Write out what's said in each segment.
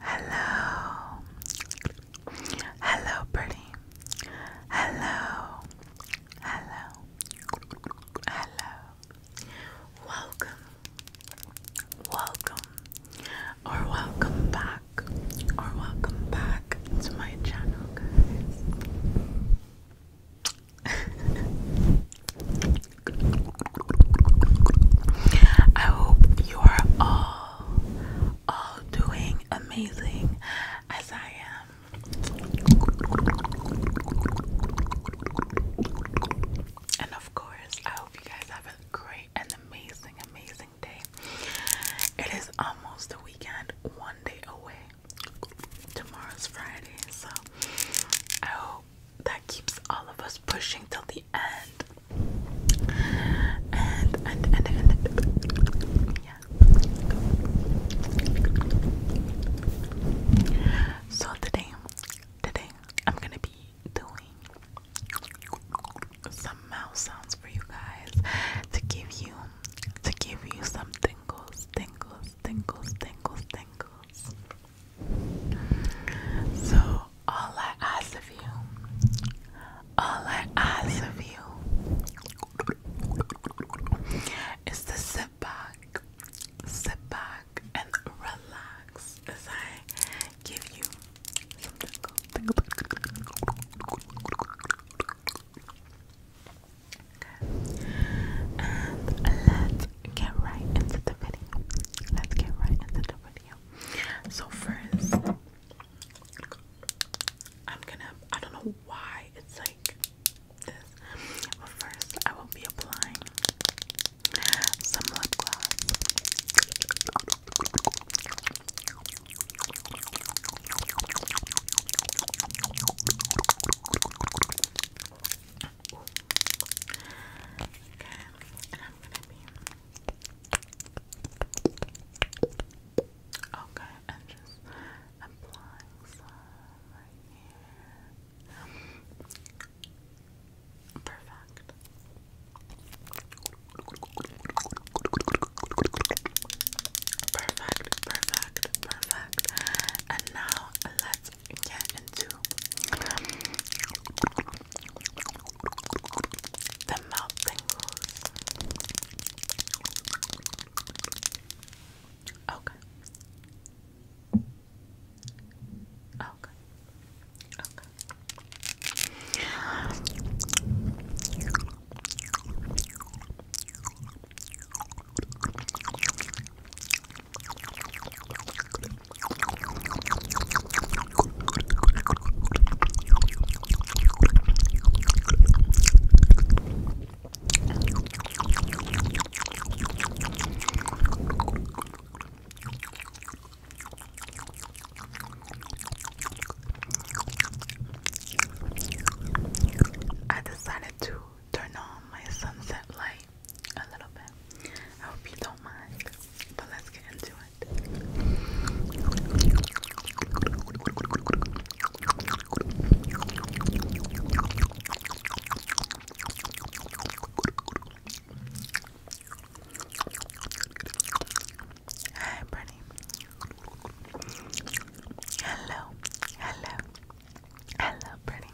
Hello. Hello, pretty. Hello. Hello. Hello. Welcome. Welcome. Or welcome back. Or welcome back to my channel, guys. I hope you are all all doing amazing as I am. And of course, I hope you guys have a great and amazing, amazing day. It is almost the weekend, one day away. Tomorrow's Friday, so I hope that keeps all of us pushing till the end. And and and and, yeah. So today, today I'm gonna be doing some mouth sounds for you guys to give you to give you some tingles, tingles, tingles, tingles, tingles. So, all I ask of you, all I ask of you is to sit back, sit back, and relax as I give you some tickle, tickle, Okay. And let's get right into the video. Let's get right into the video. So first, I'm gonna. I don't know why it's like this, but first I will be applying some lip gloss. Ooh. Okay, and I'm gonna be okay, and just applying some right here. Perfect. Perfect, perfect, perfect. And now get into the mouth Okay. Okay. I decided to turn on my sunset light a little bit. I hope you don't mind, but let's get into it. Hi, Brittany. Hello, hello, hello, Brittany.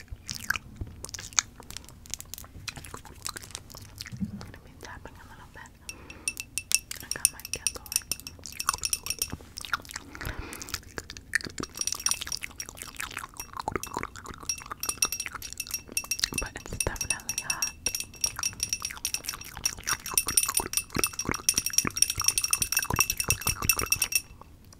I'm gonna be tapping a little bit. I got my candle. But it's definitely hot.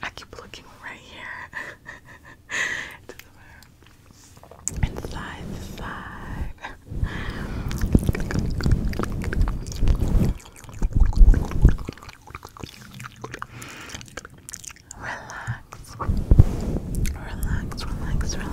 I keep looking right here. it does relax, relax. Relax, relax, relax, relax, relax. Relax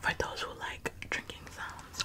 For those who like drinking sounds.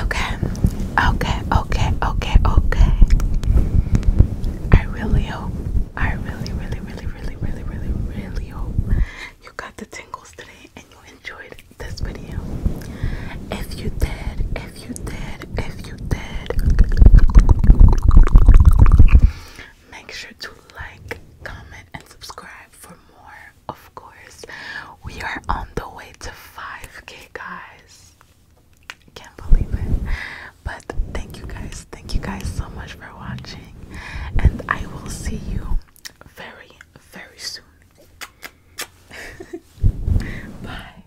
Okay, okay, okay, okay, okay. I really hope, I really, really, really, really, really, really, really hope you got the tingles today and you enjoyed this video. If you did, if if you did, if you did, make sure to like, comment, and subscribe for more. Of course, we are on the way to 5k, guys. I can't believe it. But thank you guys, thank you guys so much for watching, and I will see you very, very soon. Bye.